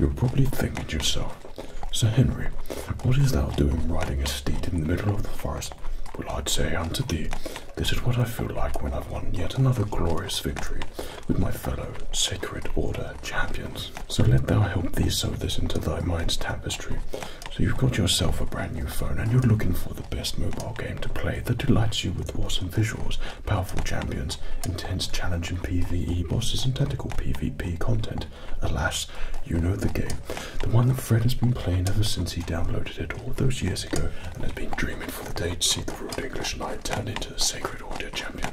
you probably think to yourself, Sir Henry, what is thou doing riding a steed in the middle of the forest? Will i say unto thee, this is what I feel like when I've won yet another glorious victory with my fellow sacred order champions. So let thou help thee sew this into thy mind's tapestry. So you've got yourself a brand new phone and you're looking for the best mobile game to play that delights you with awesome visuals, powerful champions, intense challenging PvE bosses and tactical PvP content alas, you know the game. The one that Fred has been playing ever since he downloaded it all those years ago and has been dreaming for the day to see the rude English knight turned into the sacred order champion.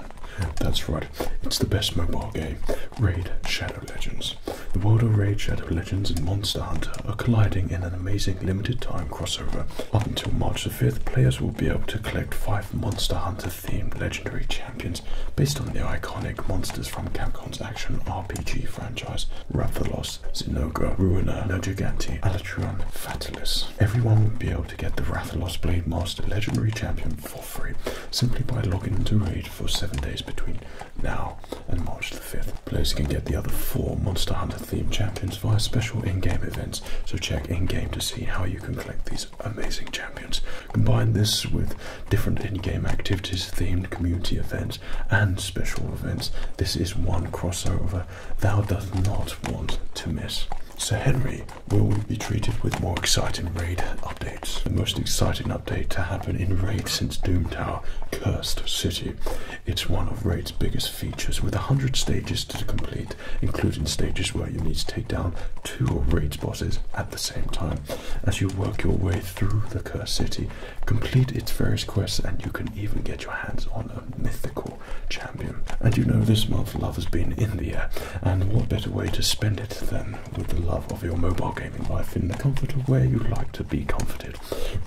That's right, it's the best mobile game, Raid Shadow Legends. The world of Raid Shadow Legends and Monster Hunter are colliding in an amazing limited time crossover. Up until March the 5th, players will be able to collect five Monster Hunter themed legendary Champions, based on the iconic monsters from Capcom's action RPG franchise, Rathalos, Zenoga, Ruiner, Nergigante, Alatron, Fatalis. Everyone will be able to get the Rathalos Blade Master Legendary Champion for free simply by logging into Raid for 7 days between now and March the 5th. Players can get the other 4 Monster Hunter themed champions via special in-game events, so check in-game to see how you can collect these amazing champions. Combine this with different in-game activities, themed community events, and special events. This is one crossover thou dost not want to miss. Sir Henry, will we be treated with more exciting raid updates? The most exciting update to happen in Raid since Doom Tower, Cursed City. It's one of Raid's biggest features with 100 stages to complete, including stages where you need to take down two raid bosses at the same time. As you work your way through the Curse City, complete its various quests, and you can even get your hands on a mythical champion. And you know, this month love has been in the air, and what better way to spend it than with the love of your mobile gaming life in the comfort of where you like to be comforted.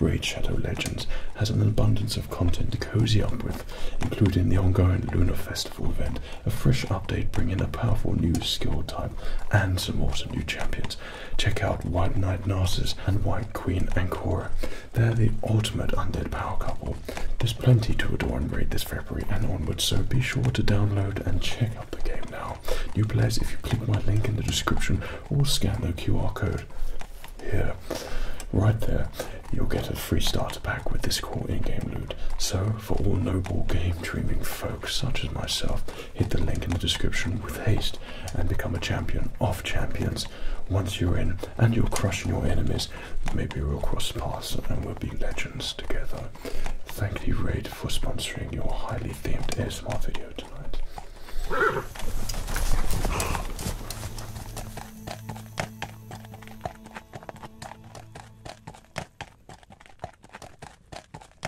Raid Shadow Legends has an abundance of content to cozy up with, including the ongoing Lunar Festival event, a fresh update bringing a powerful new skill type, and some more new champions. Check out White Knight Narcissus and White Queen Ankora. They're the ultimate undead power couple. There's plenty to adore and this February and onwards, so be sure to download and check out the game now. New players, if you click my link in the description or scan the QR code here, right there, you'll get a free starter pack with this cool in-game loot. So, for all noble game-dreaming folks such as myself, hit the link in the description with haste and become a champion of champions. Once you're in and you're crushing your enemies, maybe we'll cross paths and we'll be legends together. Thank you, Raid, for sponsoring your highly themed ASMR video tonight.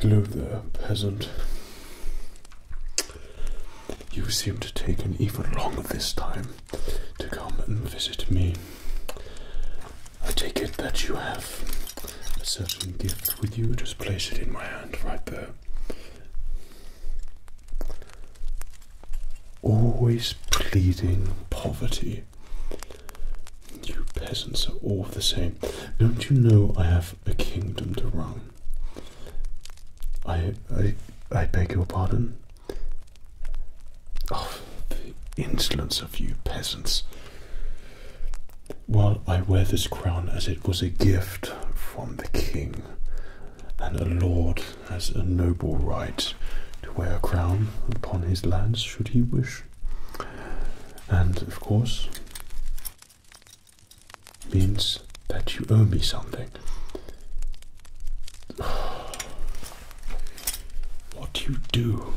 Hello there, peasant. You seem to take an even longer this time to come and visit me. I take it that you have a certain gift with you. Just place it in my hand right there. Always pleading poverty. You peasants are all the same. Don't you know I have a kingdom to run. I I I beg your pardon. Oh, the insolence of you peasants. While I wear this crown as it was a gift from the king, and a lord has a noble right to wear a crown upon his lands should he wish. And of course, means that you owe me something. What do you do.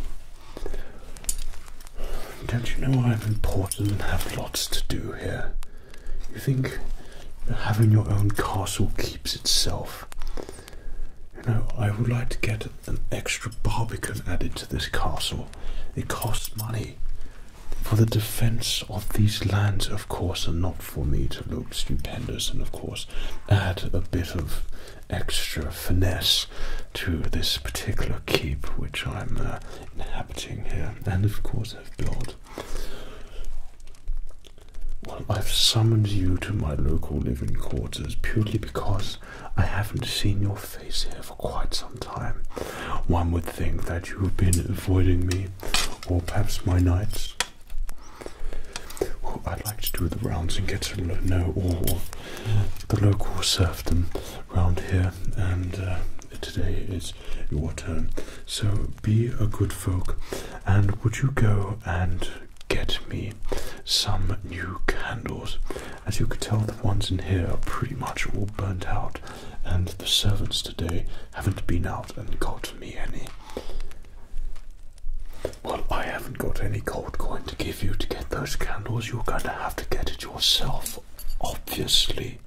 Don't you know I'm important and have lots to do here? You think having your own castle keeps itself? You know, I would like to get an extra Barbican added to this castle. It costs money. For the defense of these lands, of course, and not for me to look stupendous and, of course, add a bit of extra finesse to this particular keep which I'm uh, inhabiting here, and of course, I've built. Well, I've summoned you to my local living quarters purely because I haven't seen your face face here for quite some time. One would think that you've been avoiding me, or perhaps my knights. I'd like to do the rounds and get to know all the local serfdom round here, and uh, today is your turn. So be a good folk, and would you go and get me some new candles? As you could tell, the ones in here are pretty much all burnt out, and the servants today haven't been out and got me any. Well, I haven't got any gold coin to give you to get those candles. You're going to have to get it yourself, obviously.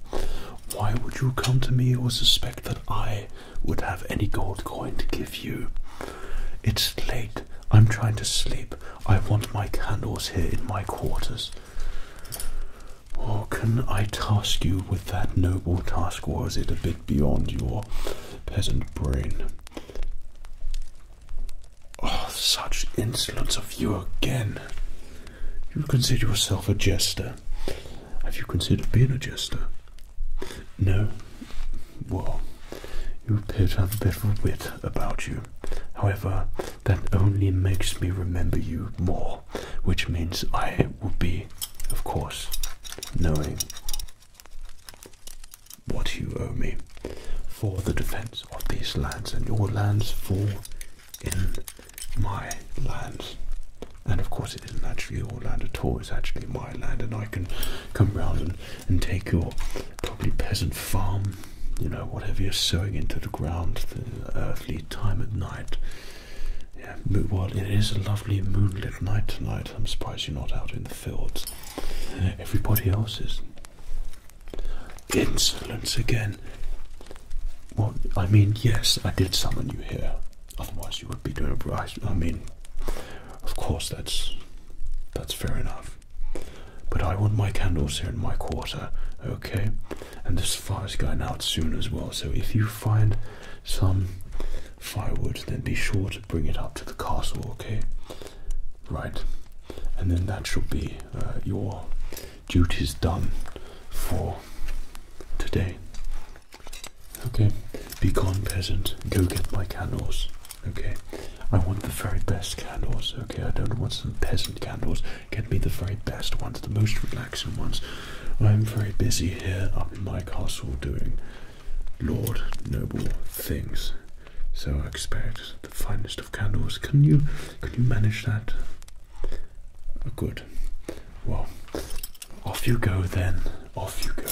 Why would you come to me or suspect that I would have any gold coin to give you? It's late. I'm trying to sleep. I want my candles here in my quarters. Or can I task you with that noble task, Was it a bit beyond your peasant brain? Oh, such insolence of you again! You consider yourself a jester. Have you considered being a jester? No? Well, you appear to have a bit of wit about you. However, that only makes me remember you more, which means I will be, of course, knowing what you owe me for the defense of these lands and your lands fall in my lands. And of course, it isn't actually your land at all, it's actually my land, and I can come round and, and take your probably peasant farm you know, whatever you're sowing into the ground, the earthly time at night. Yeah, well, it is a lovely moonlit night tonight. I'm surprised you're not out in the fields. Everybody else is. Insolence again. Well, I mean, yes, I did summon you here. Otherwise, you would be doing a right. I mean, of course, that's that's fair enough. But I want my candles here in my quarter, okay? and this fire's going out soon as well. So if you find some firewood, then be sure to bring it up to the castle, okay? Right, and then that shall be uh, your duties done for today. Okay, be gone, peasant. Go get my candles. Okay, I want the very best candles. Okay, I don't want some peasant candles can be the very best ones, the most relaxing ones. I'm very busy here up in my castle doing Lord noble things. So I expect the finest of candles. Can you can you manage that? Oh, good. Well, off you go then. Off you go.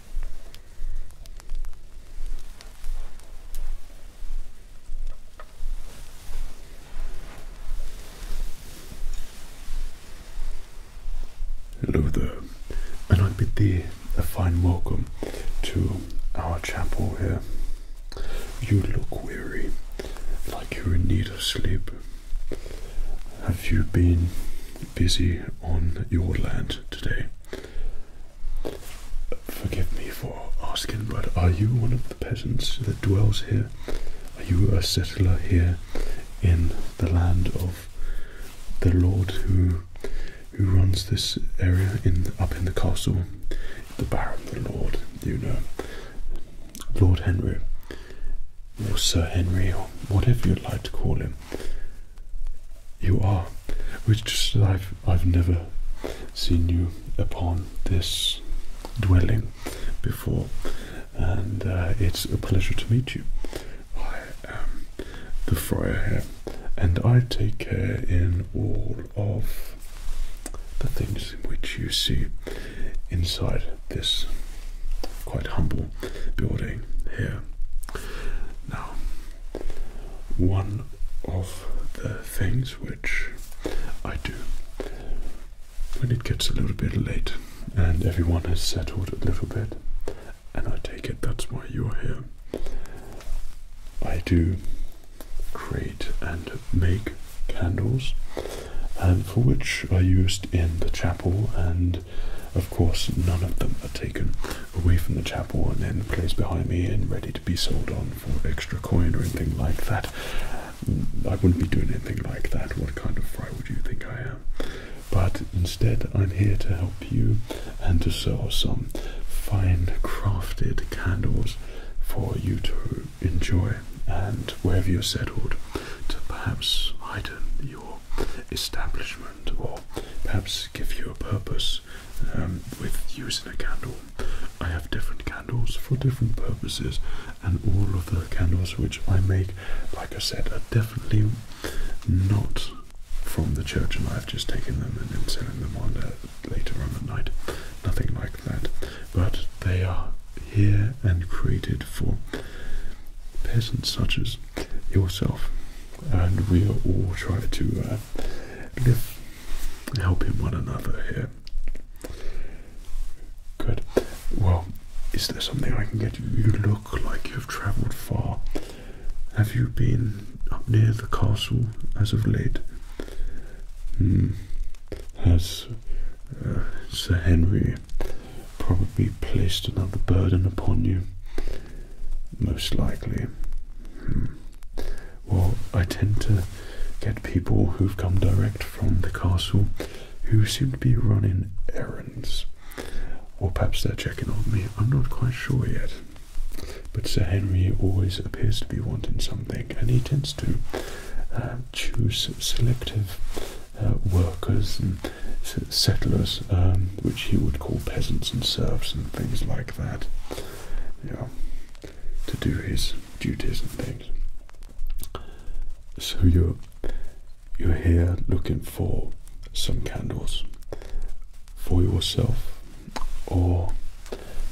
Hello there, and I bid thee a fine welcome to our chapel here. You look weary, like you're in need of sleep. Have you been busy on your land today. Forgive me for asking, but are you one of the peasants that dwells here? Are you a settler here in the land of the lord who who runs this area in up in the castle? The Baron, the Lord, you know, Lord Henry, or Sir Henry, or whatever you'd like to call him you are, which I've, I've never seen you upon this dwelling before, and uh, it's a pleasure to meet you. I am the friar here, and I take care in all of the things which you see inside this quite humble building here. Now, one of the things which I do when it gets a little bit late and everyone has settled a little bit, and I take it that's why you're here, I do create and make candles and for which are used in the chapel and of course none of them are taken away from the chapel and then placed behind me and ready to be sold on for extra coin or anything like that. Mm, I wouldn't be doing anything like that. What kind of fry would you think I am? But instead, I'm here to help you and to sell some fine crafted candles for you to enjoy and wherever you're settled to perhaps heighten your establishment or perhaps give you a purpose um, with using a candle. I have different candles for different purposes, and all of the candles which I make, like I said, are definitely not from the church, and I've just taken them and then selling them on uh, later on at night. Nothing like that, but they are here and created for persons such as yourself and we are all trying to uh, help in one another here. Good. Well, is there something I can get you? You look like you've travelled far. Have you been up near the castle as of late? Hmm. Has uh, Sir Henry probably placed another burden upon you? most likely. Hmm. Well, I tend to get people who've come direct from the castle who seem to be running errands. Or perhaps they're checking on me. I'm not quite sure yet. But Sir Henry always appears to be wanting something, and he tends to uh, choose selective uh, workers settlers, um, which he would call peasants and serfs and things like that, yeah, to do his duties and things. So you're you're here looking for some candles for yourself, or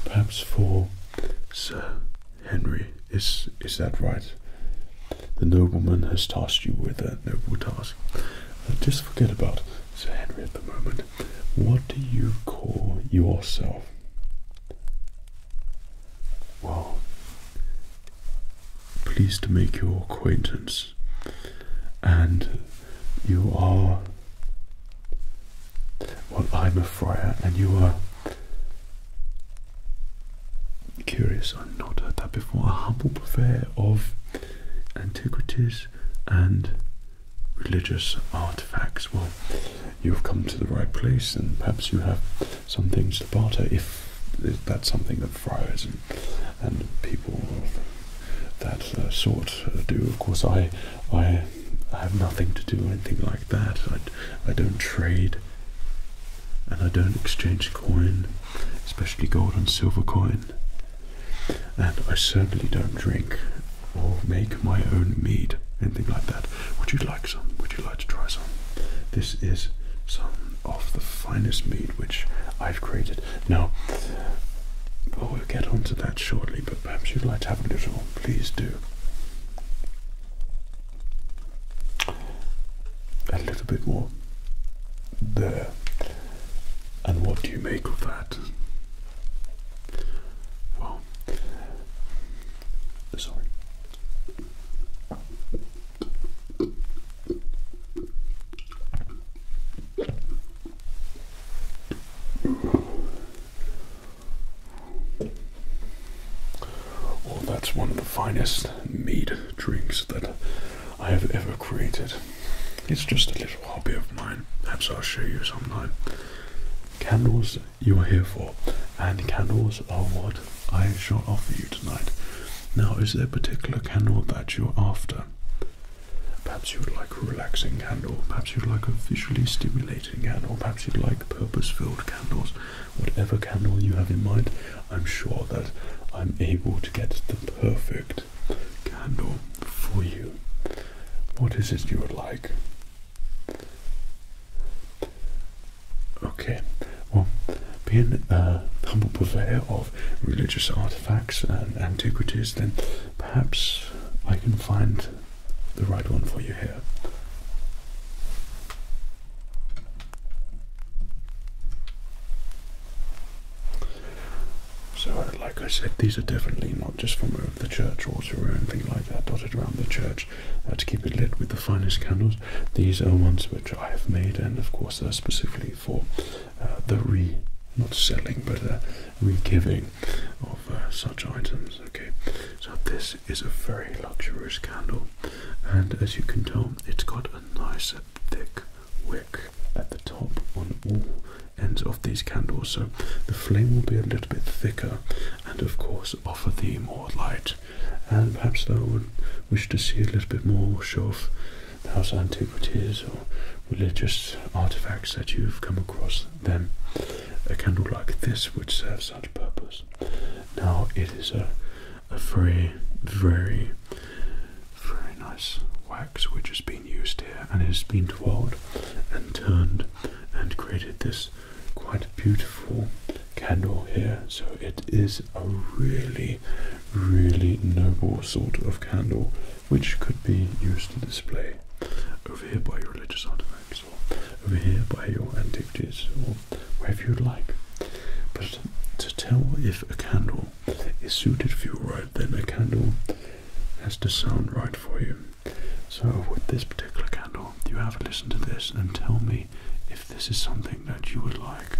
perhaps for Sir Henry. Is is that right? The nobleman has tasked you with a noble task. Uh, just forget about so Henry, at the moment, what do you call yourself? Well, pleased to make your acquaintance, and you are. Well, I'm a friar, and you are. Curious, I've not heard that before. A humble prefer of antiquities and religious artifacts. Well, you've come to the right place, and perhaps you have some things to barter if that's something that friars and, and people of that uh, sort uh, do. Of course, I, I have nothing to do anything like that. I, I don't trade and I don't exchange coin, especially gold and silver coin. And I certainly don't drink or make my own mead, anything like that. Would you like some? Would you like to try some? This is some of the finest mead which I've created. Now, oh, we'll get onto that shortly, but perhaps you'd like to have a little, please do. A little bit more. There. And what do you make of that? Well, sorry. Well, that's one of the finest mead drinks that I have ever created. It's just a little hobby of mine. Perhaps I'll show you some sometime. Candles you are here for, and candles are what I shall offer you tonight. Now, is there a particular candle that you're after? Perhaps you'd like a relaxing candle, perhaps you'd like a visually stimulating candle, perhaps you'd like purpose filled candles. Whatever candle you have in mind, I'm sure that I'm able to get the perfect candle for you. What is it you would like? Okay, well, being a uh, humble purveyor of religious artifacts and antiquities, then perhaps I can find the right one for you here. So, like I said, these are definitely not just from the church altar or anything like that, dotted around the church uh, to keep it lit with the finest candles. These are ones which I have made, and of course, they're uh, specifically for uh, the re not selling but the re giving of such items. Okay, so this is a very luxurious candle, and as you can tell, it's got a nice thick wick at the top on all ends of these candles, so the flame will be a little bit thicker and, of course, offer thee more light. And perhaps thou would wish to see a little bit more, show of the house antiquities or religious artifacts that you've come across, then a candle like this would serve such purpose. Now, it is a, a very, very, very nice. wax which has been used here and has been twirled and turned and created this quite beautiful candle here. So it is a really, really noble sort of candle which could be used to display over here by your religious artifacts or over here by your antiquities or wherever you'd like. But to tell if a candle is suited for you right, then the candle has to sound right for you. So, with this particular candle, you have to listen to this and tell me if this is something that you would like.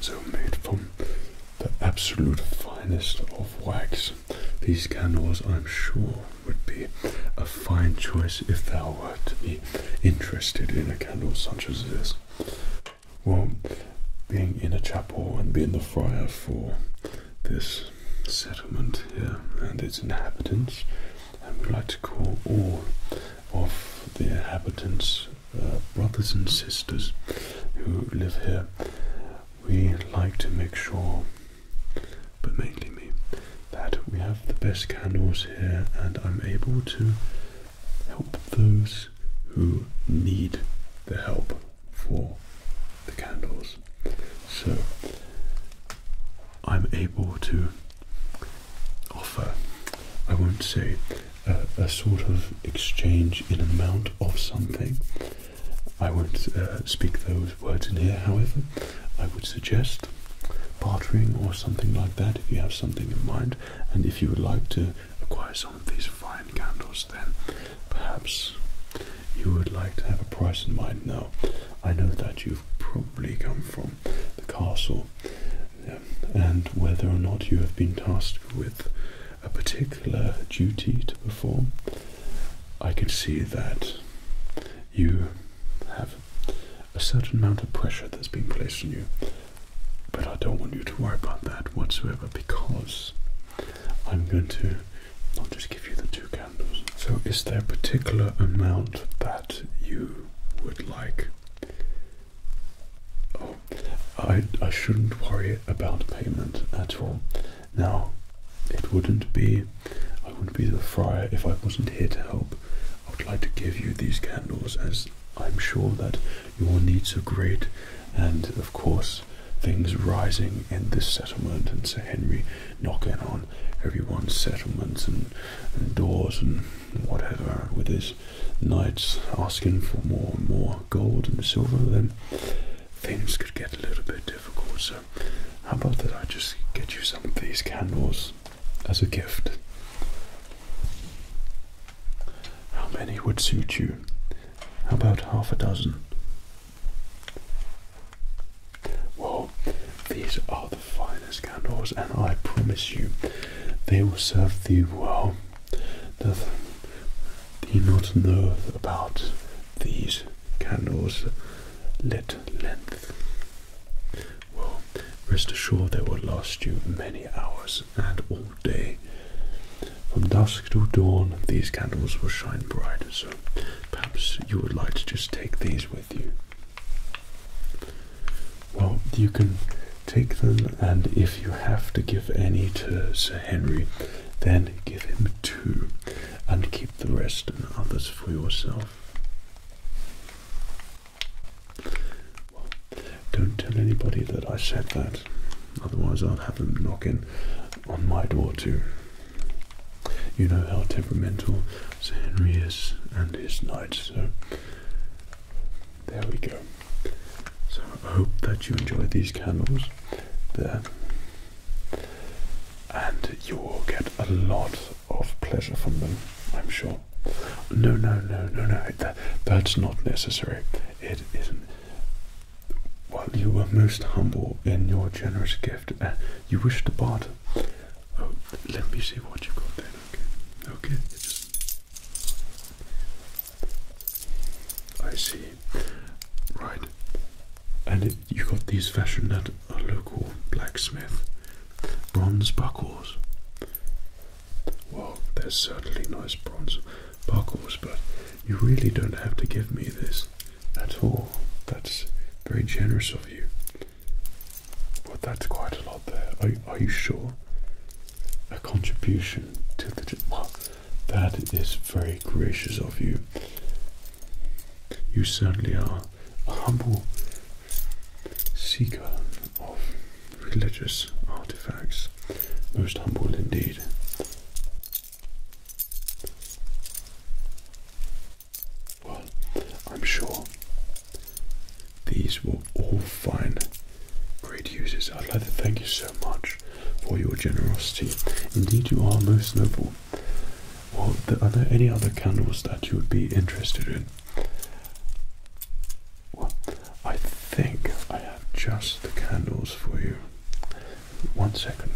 So made from the absolute finest of wax. These candles, I'm sure, would be a fine choice if thou were to be interested in a candle such as this. Well, being in a chapel and being the friar for this settlement here and its inhabitants, and we like to call all of the inhabitants uh, brothers and sisters who live here, we like to make sure but mainly me, that we have the best candles here and I'm able to help those who need the help for the candles. So I'm able to offer, I won't say, a, sort of exchange in amount of something. I won't uh, speak those words in here, however, I would suggest bartering or something like that if you have something in mind and if you would like to acquire some of these fine candles then perhaps you would like to have a price in mind now i know that you've probably come from the castle and whether or not you have been tasked with a particular duty to perform i can see that you have a certain amount of pressure that's been placed on you. But I don't want you to worry about that whatsoever because I'm going to not just give you the two candles. So, is there a particular amount that you would like? Oh, I, I shouldn't worry about payment at all. Now, it wouldn't be I wouldn't be the friar if I wasn't here to help. I would like to give you these candles as I'm sure that your needs are great, and of course, things rising in this settlement and Sir Henry knocking on everyone's settlements and, and doors and whatever with his knights asking for more and more gold and silver, then things could get a little bit difficult. So, how about that I just get you some of these candles as a gift. How many would suit you? How about half a dozen? Well, these are the finest candles, and I promise you, they will serve thee well. Doth thee not know about these candles lit length? well, rest assured they will last you many hours and all day. From dusk till dawn, these candles will shine bright, so perhaps you would like to just take these with you. Well, you can take them, and if you have to give any to Sir Henry, then give him two, and keep the rest and others for yourself don't tell anybody that I said that, otherwise I'll have them knocking on my door too. You know how temperamental Sir is and his knights, so there we go. So I hope that you enjoy these candles there. And you will get a lot of pleasure from them, I'm sure. No, no, no, no, no. That, that's not necessary. It isn't. While you were most humble in your generous gift, you wished to barter. Oh, let me see what you got then. Okay, okay. I see. Right, and it, you got these fashioned at a local blacksmith. Bronze buckles. Well, they're certainly nice bronze buckles, but you really don't have to give me this at all. That's very generous of you. But that's quite a lot there. Are, you sure? A contribution to the. Well, that is very gracious of you. You certainly are a humble seeker of religious artifacts. Most humble indeed. Well, I'm sure these will all find great uses. I'd like to thank you so much for your generosity. Indeed, you are most noble. Well, are there any other candles that you would be interested in? Well, I think I have just the candles for you. One second.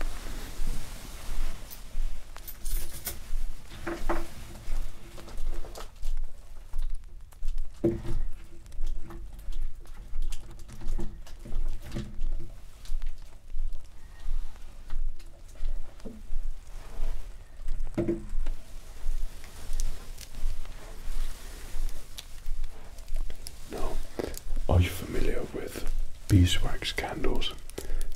Now, are you familiar with beeswax candles?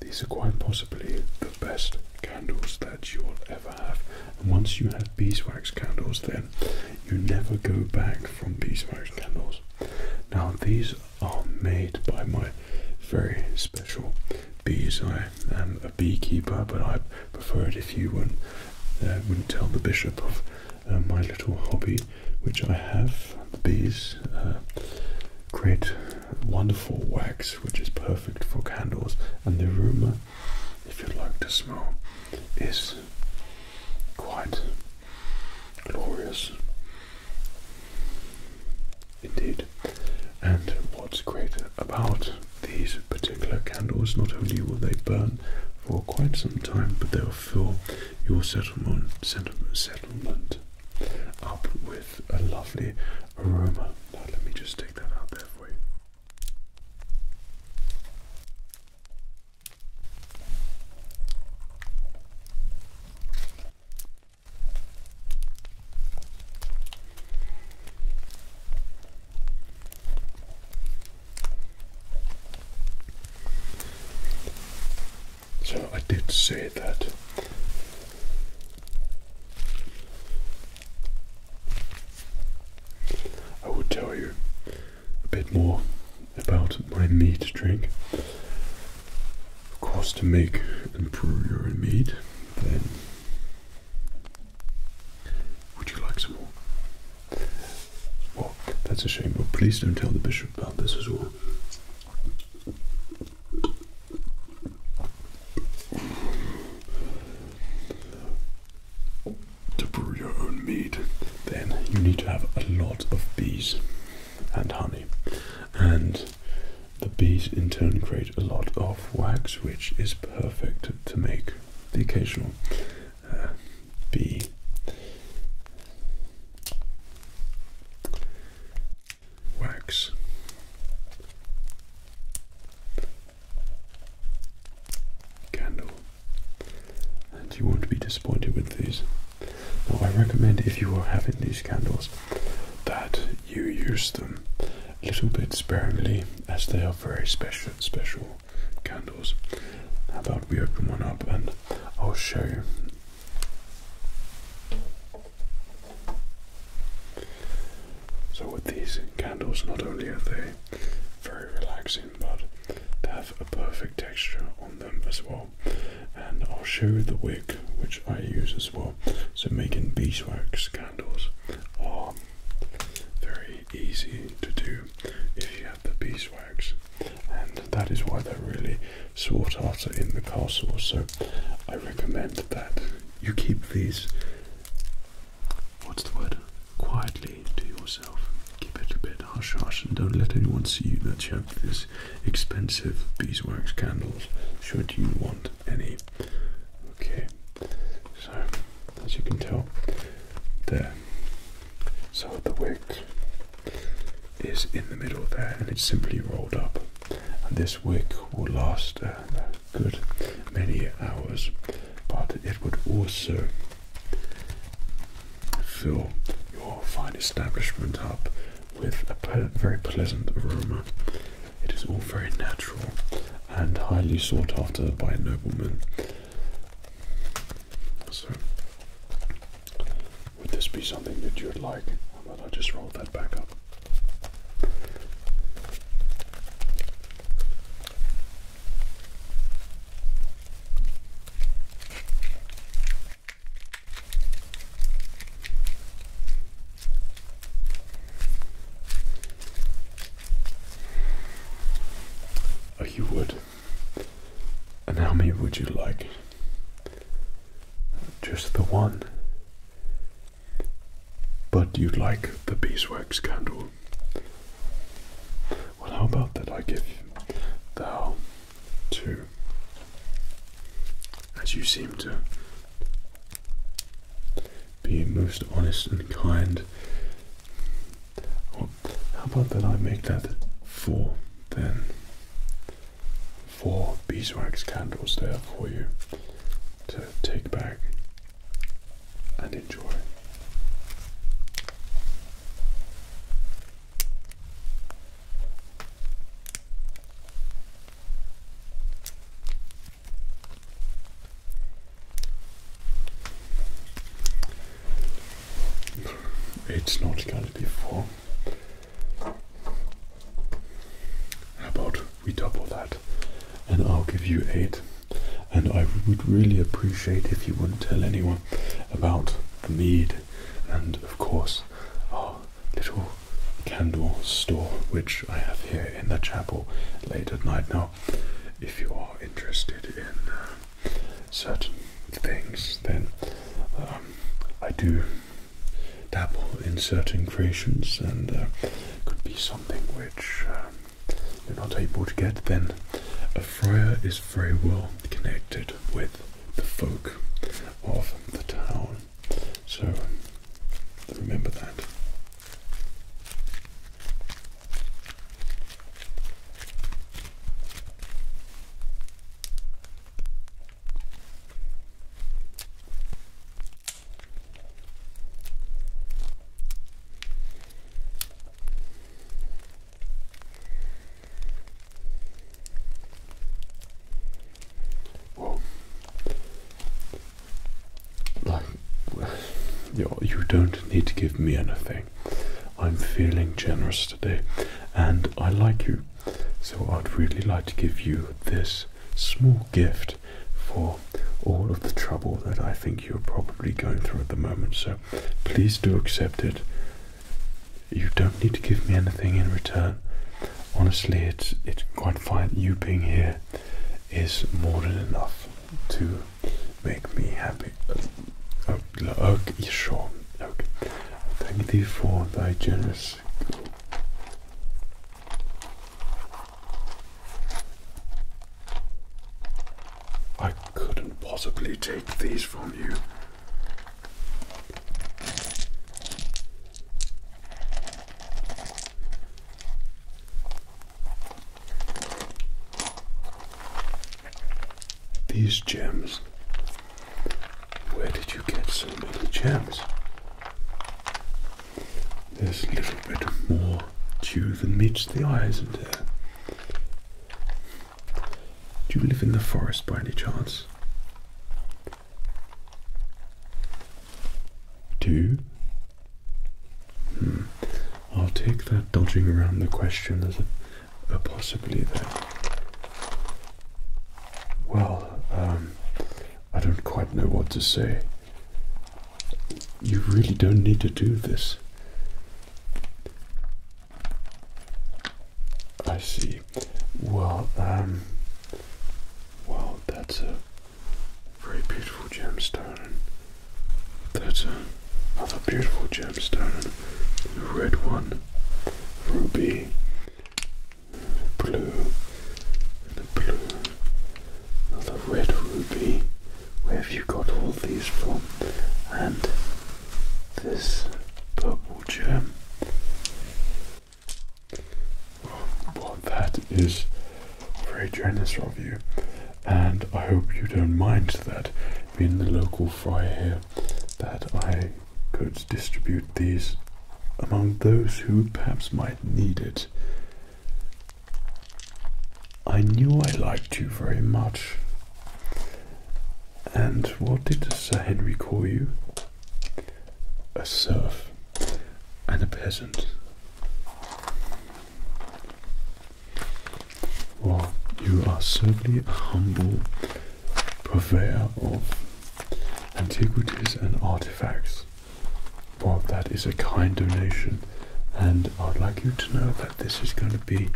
These are quite possibly the best candles that you'll ever have. And once you have beeswax candles, then you never go back from beeswax candles. Now, these are made by my very special bees I I am um, a beekeeper, but I prefer it if you uh, wouldn't, tell the bishop of uh, my little hobby, which I have. The bees uh, create wonderful wax, which is perfect for candles, and the aroma, if you'd like to smell, is quite glorious. Indeed. And what's great about these particular candles, not only will they burn for quite some time, but they'll fill your settlement, up with a lovely aroma. let me just take that out there for you. So I did say that I would tell you a bit more about my meat drink. Of course, to make imperial meat, then would you like some more? Well, that's a shame, but please don't tell the bishop about this as well. To brew your own mead, then you need to have a lot of bees and honey and the bees in turn create a lot of wax, which is perfect to make the occasional uh, bee. Wax. Candle. And you won't be disappointed with these. Now, I recommend if you are having these candles that you use them little bit sparingly as they are very special special candles. How about we open one up and I'll show you. So with these candles not only are they very relaxing but they have a perfect texture on them as well. And I'll show you the wig which I use as well. So making beeswax candles are very easy to do if you have the beeswax, and that is why they're really sought after in the castle. So I recommend that you keep these. What's the word? Quietly to yourself. Keep it a bit hush hush and don't let anyone see you that you have these expensive beeswax candles should you want any. Okay, so as you can tell, there. So the wick is in the middle there and it's simply rolled up. this wick will last uh, a good many hours, but it would also fill your fine establishment up with a very pleasant aroma it is all very natural and highly sought after by noblemen. So, would this be something that you would like? How about I just roll that back up? Oh, you would. And how many would you like? Just the one. But you'd like the beeswax candle. Well, how about that I give you thou two? As you seem to be most honest and kind. how about that I make that four then? Four beeswax candles there for you to take back and enjoy. It's not going to be four. How about we double that and I'll give you eight? And I would really appreciate if you wouldn't tell anyone about the mead and, of course, our little candle store which I have here in the chapel late at night. Now, if you are interested in uh, certain things, then um, I do dabble in certain creations, and uh, could be something which um, you're not able to get. Then, a friar is very well connected with the folk of the town, so Remember that like, you, you don't need to give me anything. I'm feeling generous today and I like you. So I'd really like to give you this small gift for all of the trouble that I think you're probably going through at the moment. So please do accept it. You don't need to give me anything in return. Honestly, it's it's quite fine you being here is more than enough to make me happy. Okay, sure. Okay. Thank you for thy generous. I couldn't possibly take these from you. These gems. Where did you get so many gems? There's a little bit more dew than meets the eyes is there? Do you live in the forest by any chance? Do? Hmm. I'll take that dodging around the question as a, possibly there. Well, um, I don't quite know what to say. You really don't need to do this. I see. Well, um, well, that's a very beautiful gemstone. That's another beautiful gemstone. The red one, ruby, blue, and the blue. Another red ruby. Where have you got all these from? And this purple gem. What that is very generous of you, and I hope you don't mind that, being the local friar here, that I could distribute these among those who perhaps might need it. I knew I liked you very much. And what did Sir Henry call you? A serf and a peasant. Well, you are certainly a humble purveyor of antiquities and artifacts. Well, that is a kind donation, and I'd like you to know that this is going to be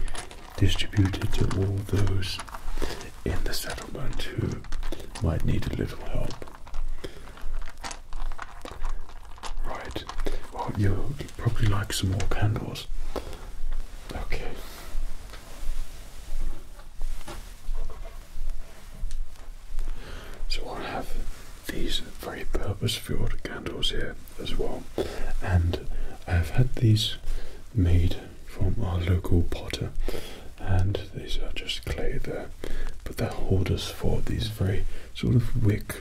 distributed to all those in the settlement who might need a little help. Right. Well, you probably like some more candles. Okay. So i have these very purpose-filled candles here as well, and I've had these made from our local potter, and these are just clay there, but they hold us for these very sort of wick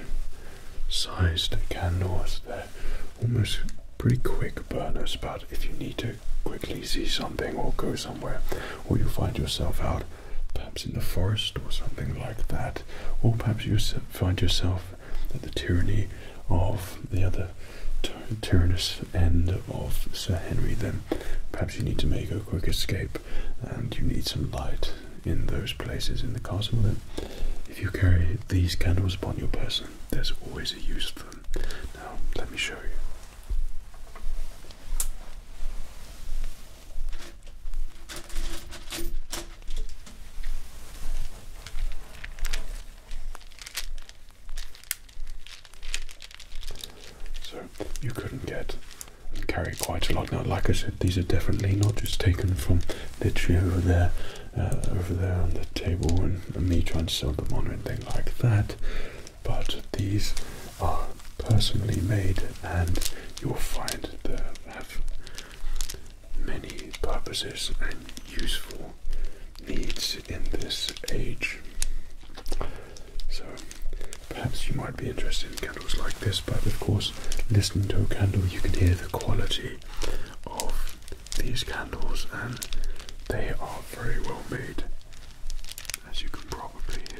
sized candles. They're almost pretty quick burners, but if you need to quickly see something or go somewhere, or you find yourself out perhaps in the forest or something like that, or perhaps you find yourself at the tyranny of the other tyrannous end of Sir Henry, then perhaps you need to make a quick escape and you need some light in those places in the castle that if you carry these candles upon your person, there's always a use for them. Now, let me show you. So, you couldn't get carry quite a lot. Now, like I said, these are definitely not just taken from the tree over there, uh, over there on the table, and, and me trying to sell them on or anything like that. But these are personally made, and you'll find they have many purposes and useful needs in this age. So Perhaps you might be interested in candles like this, but of course, listening to a candle, you can hear the quality of these candles, and they are very well made, as you can probably hear.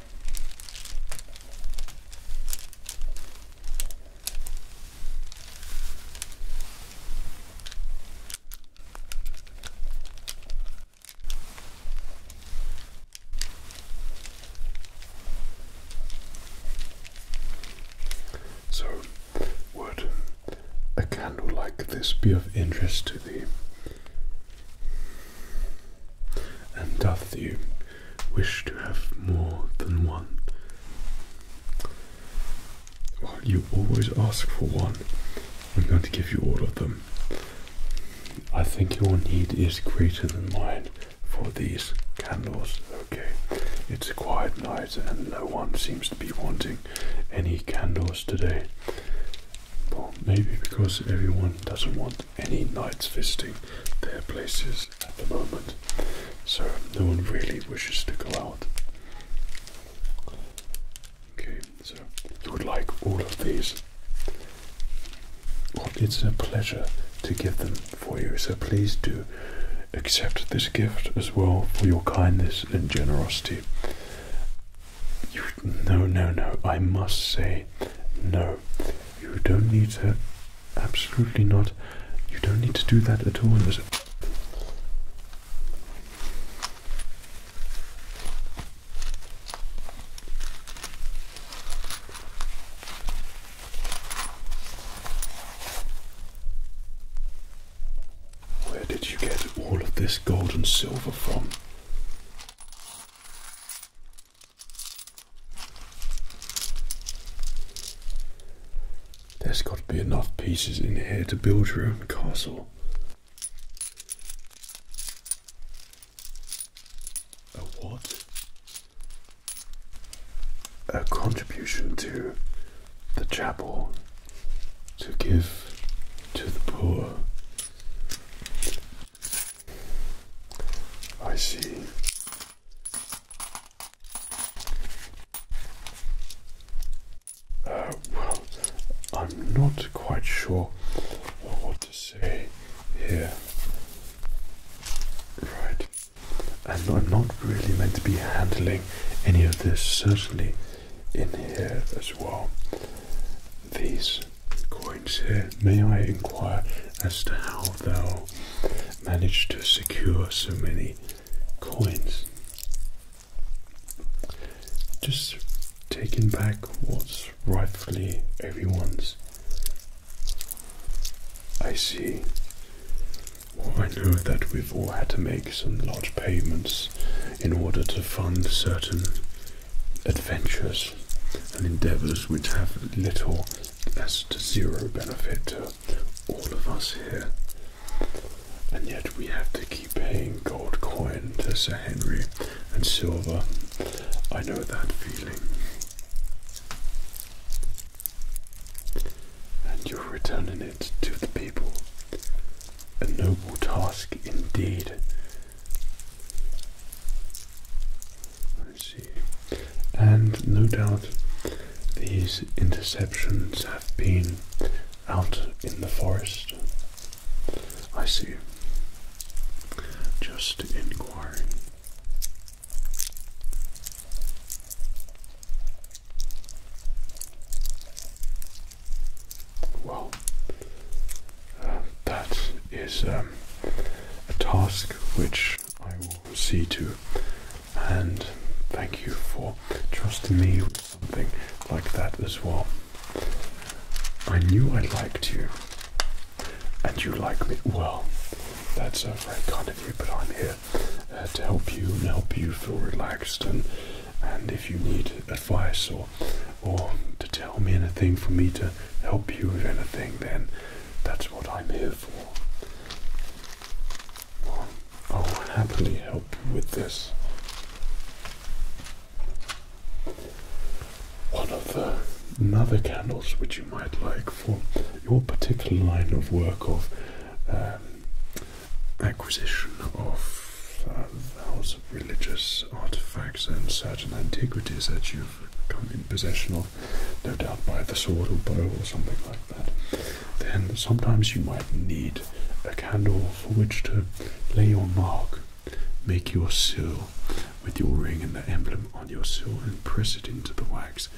So, would a candle like this be of interest to thee? And doth thee wish to have more than one? while you always ask for one. I'm going to give you all of them. I think your need is greater than mine for these candles. Okay, it's a quiet night and no one seems to be wanting any candles today. Well, maybe because everyone doesn't want any knights visiting their places at the moment, so no one really wishes to go out. Okay, so you would like all of these. it's a pleasure to give them for you, so please do accept this gift as well for your kindness and generosity. no, no, no, I must say no. You don't need to Absolutely not. You don't need to do that at all. where did you get all of this gold and silver from? There's got to be enough pieces in here to build your own castle. A what? A contribution to the chapel to give to the poor. I see. Uh, well, I'm not quite sure what to say here. Right. And I'm not really meant to be handling any of this, certainly in here as well. These coins here, may I inquire as to how they'll manage to secure so many coins. Just taking back what's rightfully everyone's. I see. I know that we've all had to make some large payments in order to fund certain adventures and endeavors which have little that's to zero benefit to all of us here. And yet we have to keep paying gold coin to Sir Henry and silver. I know that feeling. And you're returning it to the people. A noble task indeed and no doubt these interceptions have been out in the forest. I see. Just inquiring. Well, uh, that is um, a task which I will see to. And thank you for trusting me with something like that as well. I knew I liked you, and you like me well. That's uh, very kind of you, but I'm here uh, to help you and help you feel relaxed. And and if you need advice or or to tell me anything for me to help you with anything, then that's what I'm here for. I'll happily help you with this. One of the another candles which you might like for your particular line of work of um, acquisition of uh, of religious artifacts and certain antiquities that you've come in possession of no doubt by the sword or bow or something like that, then sometimes you might need a candle for which to lay your mark, make your seal with your ring and the emblem on your seal and press it into the wax.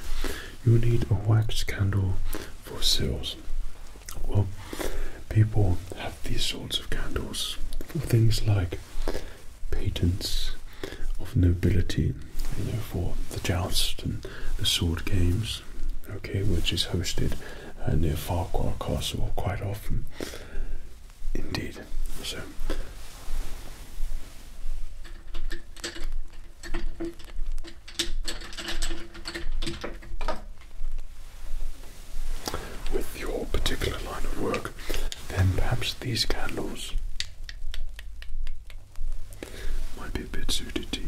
you need a wax candle for seals. Well, people have these sorts of candles for things like patents of nobility, you know, for the jousts and the sword games, okay, which is hosted uh, near Farquhar Castle quite often. Indeed. So. With your particular line of work, then perhaps these candles might be a bit suited to you.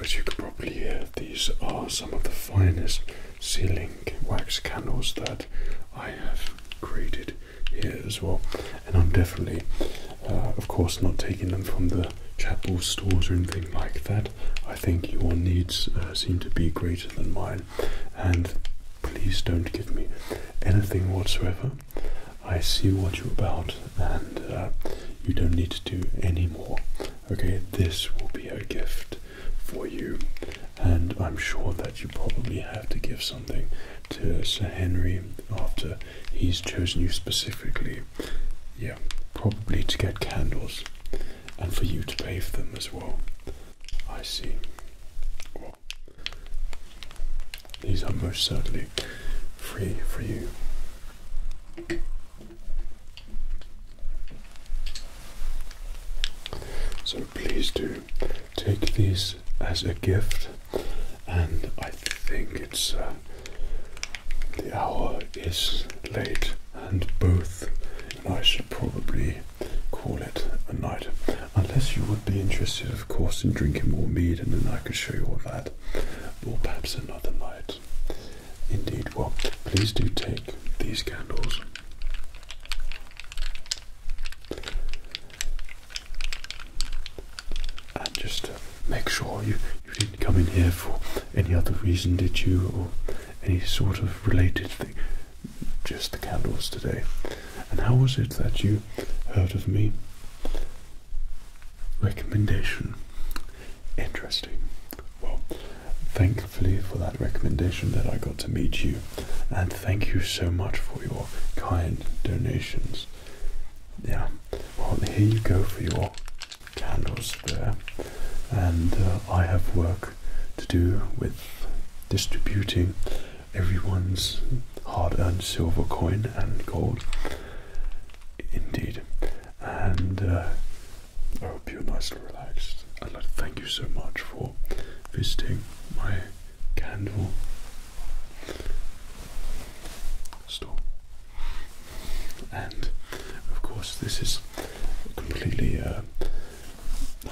As you could probably hear, these are some of the finest sealing wax candles that I have created here as well. And I'm definitely, uh, of course, not taking them from the chapel stores or anything like that. I think your needs uh, seem to be greater than mine, and please don't give me anything whatsoever. I see what you're about, and uh, you don't need to do any more. Okay, this will be a gift for you, and I'm sure that you probably have to give something to Sir Henry after he's chosen you specifically. Yeah, probably to get candles and for you to pay for them as well. I see. these are most certainly free for you. So please do take these as a gift, and I think it's uh, the hour is late, and both, and I should probably call it a night, unless you would be interested, of course, in drinking more mead, and then I could show you all that, or perhaps another night. Indeed, what? please do take these candles. And just uh, make sure you, you didn't come in here for any other reason, did you? Or any sort of related thing? Just the candles today. And how was it that you heard of me? Recommendation. Interesting. Well, thankfully for that recommendation that I got to meet you, and thank you so much for your kind donations. Yeah. Well, here you go for your candles there, and uh, I have work to do with distributing everyone's hard-earned silver coin and gold. Indeed. And uh, I hope you're nicely relaxed. I'd like to thank you so much for visiting my candle store. And of course, this is completely uh,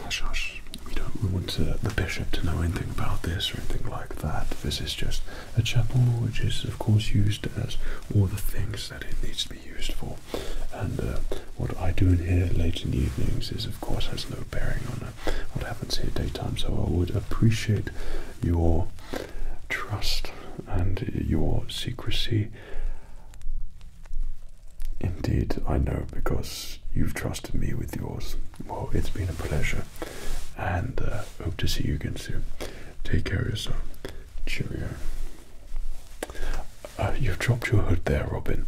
hush hush. We don't want uh, the bishop to know anything about this or anything like that. This is just a chapel, which is of course used as all the things that it needs to be used for. And uh, what I do in here late in the evenings is, of course, has no bearing on uh, what happens here daytime. So I would appreciate your trust and your secrecy. Indeed, I know because you've trusted me with yours. Well, it's been a pleasure, and uh, hope to see you again soon. Take care of yourself. Cheerio. Uh, you've dropped your hood there, Robin.